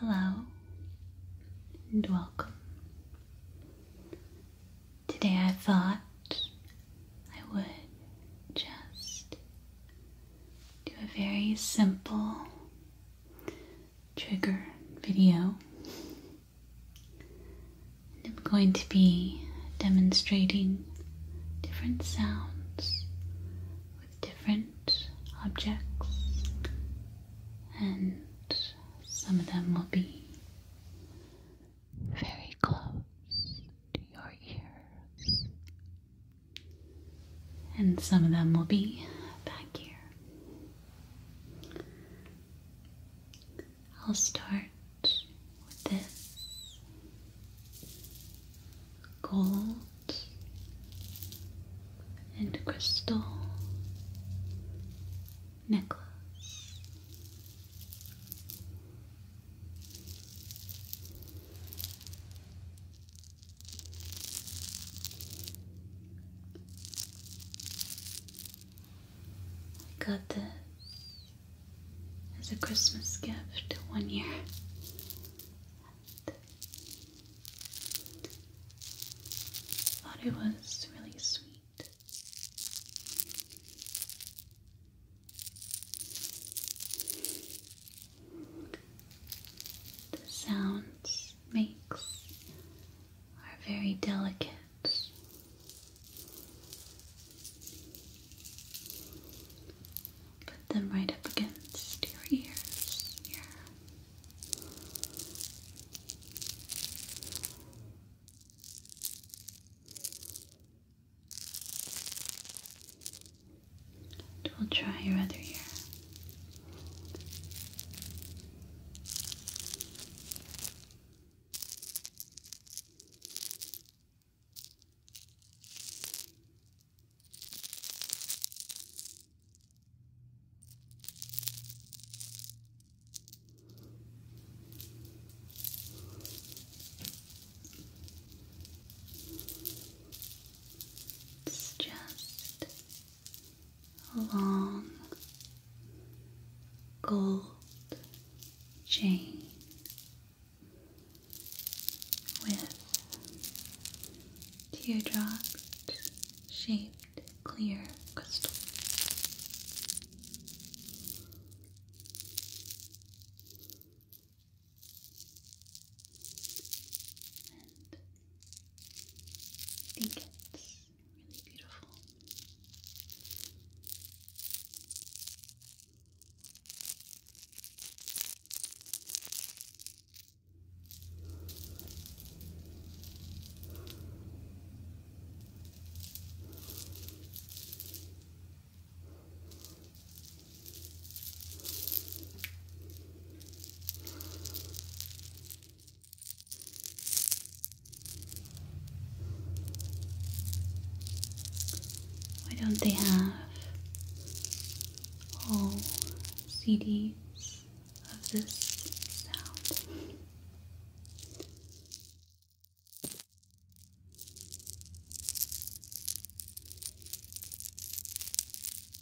Hello and welcome. Today I thought I would just do a very simple trigger video. And I'm going to be demonstrating different sounds with different objects, and some of them will be very close to your ears and some of them will be back here. I'll start with this gold and crystal necklace. I got this as a Christmas gift one year. thought it was really sweet. The sounds makes are very delicate. Put them right up against your ears we'll try your other ear. It's just a long gold chain with teardrop shaped clear crystals. I think it's really beautiful. Why don't they have all CDs of this sound?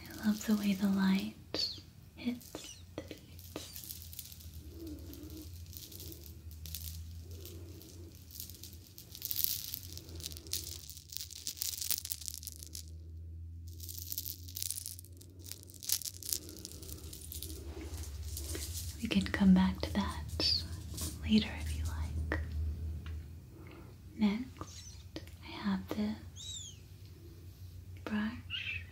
I love the way the light hits the beads. We can come back to that later if you like. Next, I have this brush.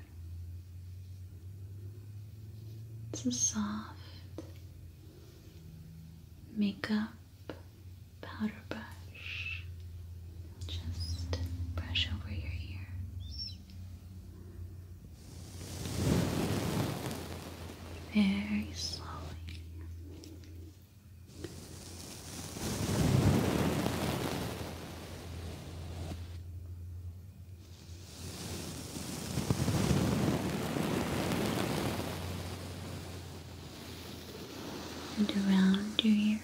It's a soft makeup powder brush. Just brush over your ears. Very slowly and around your ears.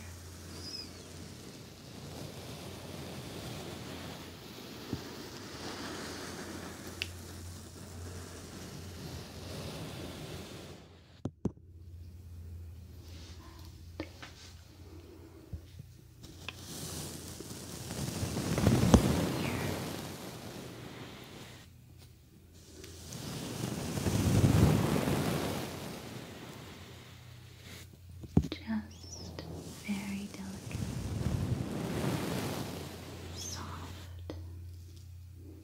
Just very delicate, soft,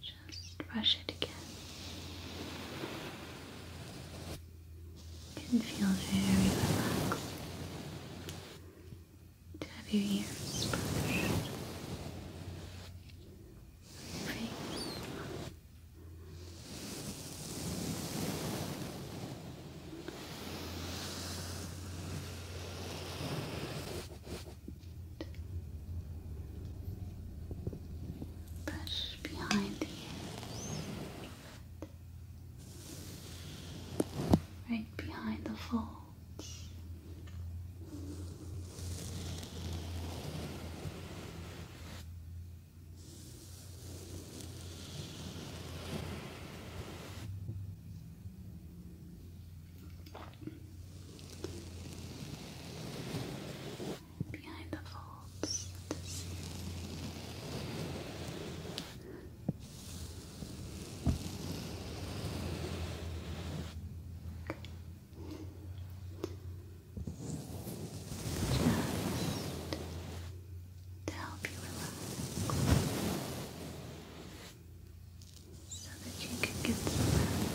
Just brush it again. You can feel very relaxed to have your ears brushed, your Brush behind the Right behind the folds behind the folds Just to help you relax so that you can get some rest.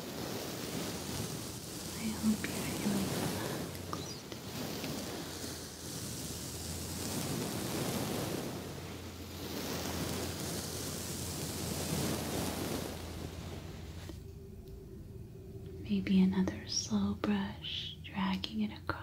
Maybe another slow brush, dragging it across.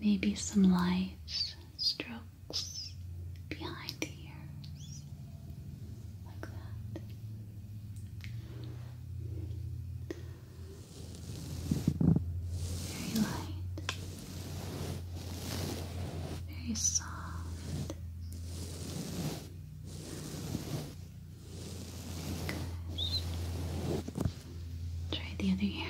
Maybe some light strokes behind the ears, like that. Very light, very soft. Try the other ear.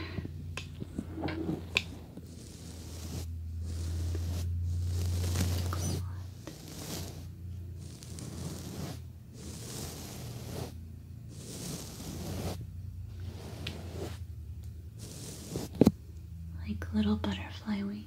Like little butterfly wings.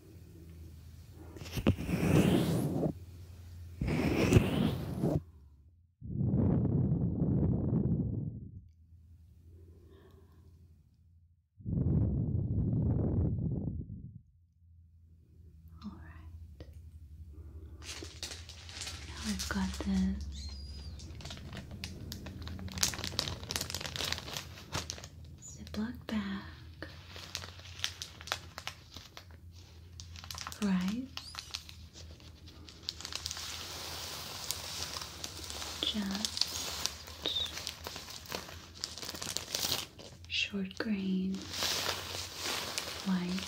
All right. Now I've got this Ziploc bag, rice, just short grain, white.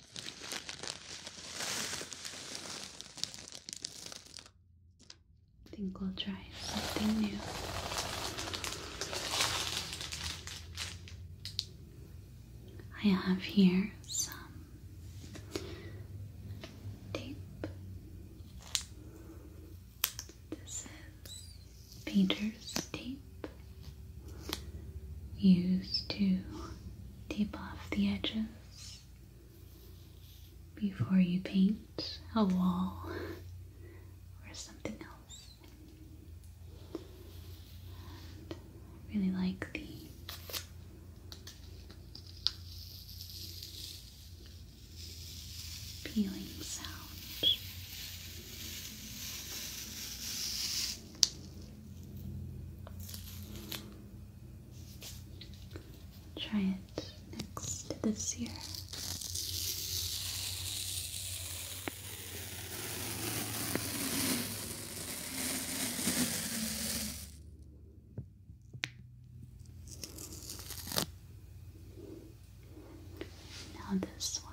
I think we'll try something new. I have here some tape. This is Peter's tape used to tape off the edges before you paint a wall or something else. I really like the peeling sound. Try it next to this year. Now this one.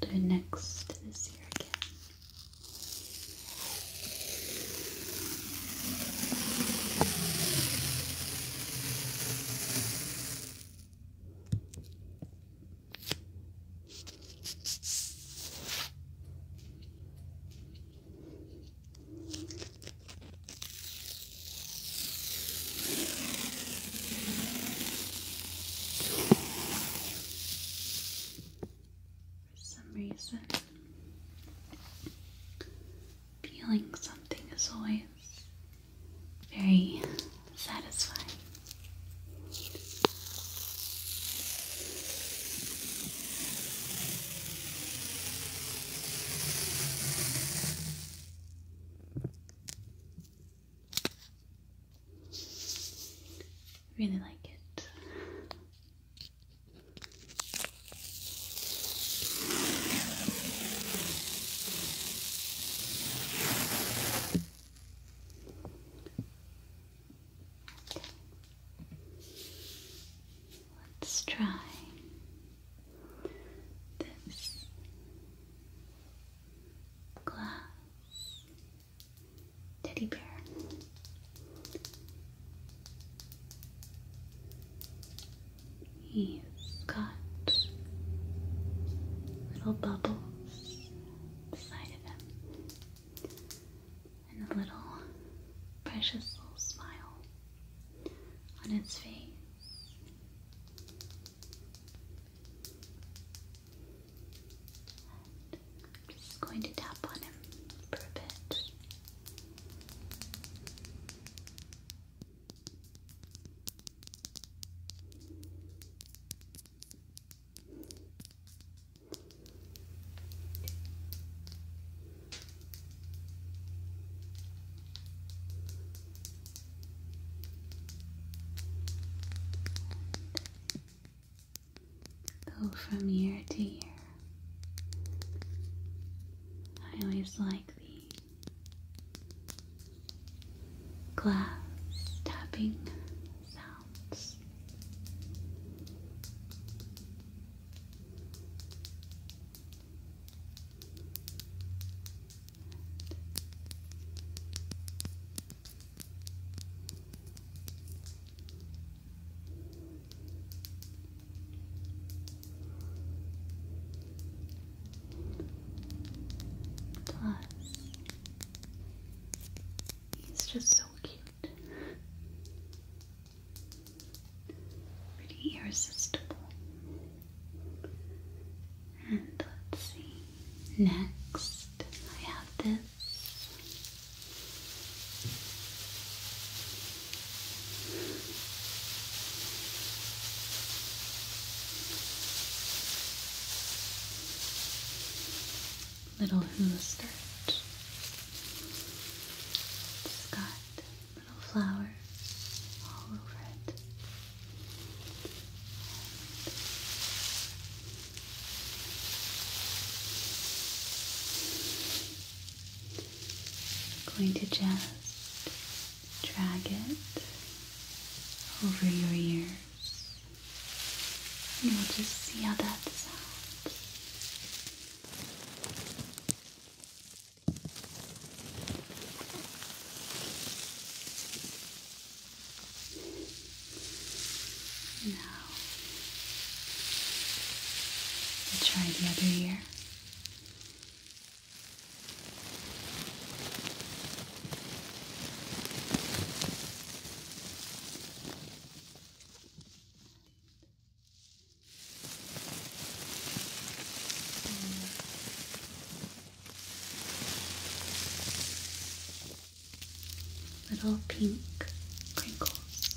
Do it next to this again. For some reason, peeling something is always very satisfying. Really like it. Let's try this glass teddy bear. He's got little bubbles inside of him and a little precious little smile on its face. I'm just going to tap on him for a bit. Go from year to year. I always like the glass tapping sound. Plus, he's just so cute. Pretty irresistible. And let's see. Next, I have this little hooves dirt. It's got little flowers all over it. going to just drag it over your ears. And we'll just see how that sounds. Now, we'll try the other ear little pink crinkles.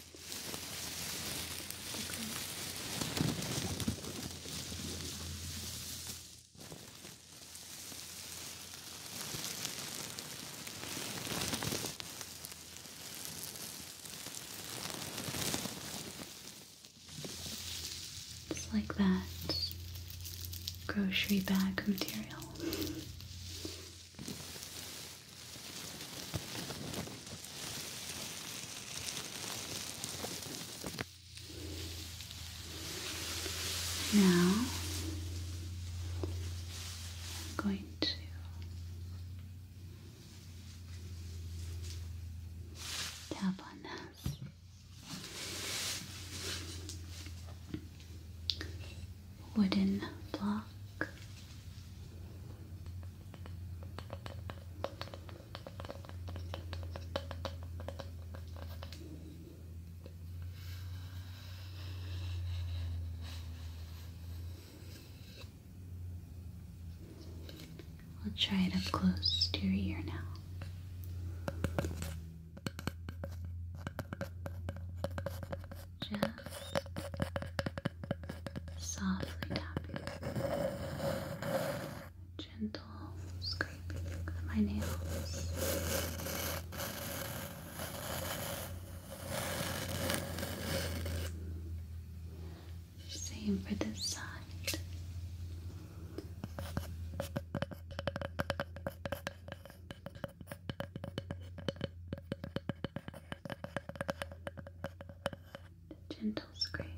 Just like that grocery bag material. Now I'm going to tap on this wooden block. We'll try it up close to your ear now just softly tapping, gentle scrape of my nails. Same for this side. Gentle scrape. Gentle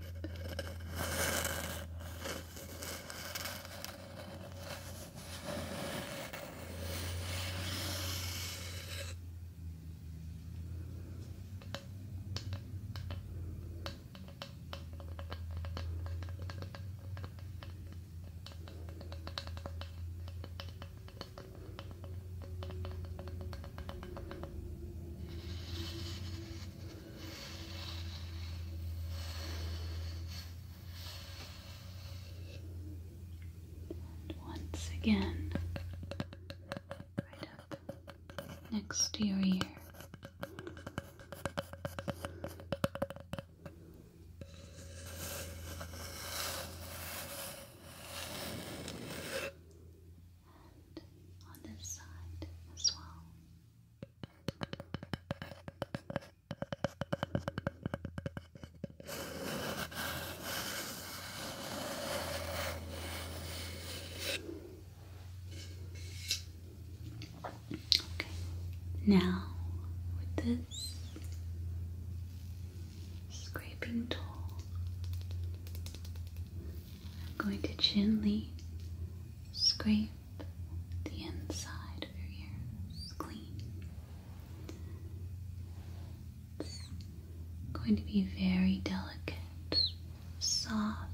once again, right up next to your ear. And on this side as well. Okay, now with this, scraping tool. I'm going to gently scrape the inside of your ears clean. going to be very delicate, soft,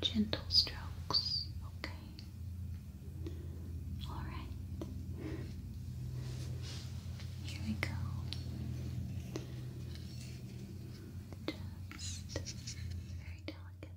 gentle strokes, okay? All right. Here we go. Just very delicate.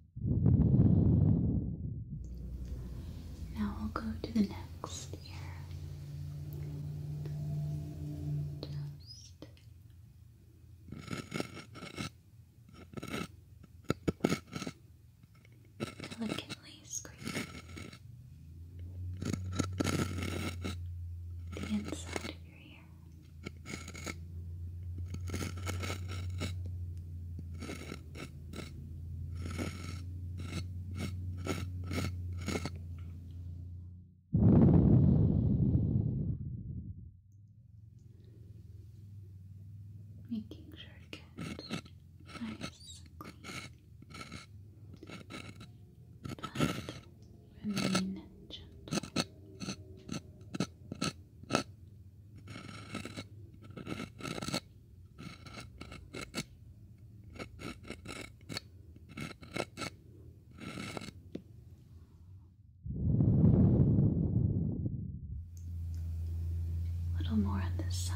Now we'll go to the next ear. Just delicately scrape the inside of your ear. Making sure it gets nice and clean, but remain gentle. A little more on this side.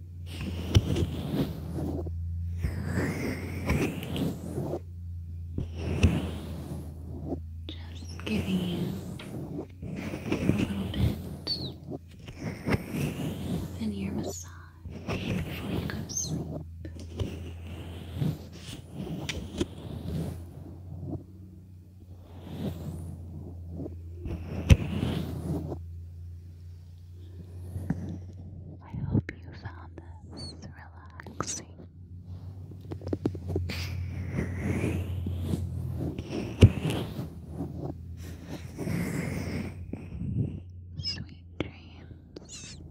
just giving you a little bit of an ear massage before you go to sleep. Just I hope you found this relaxing. Sweet dreams.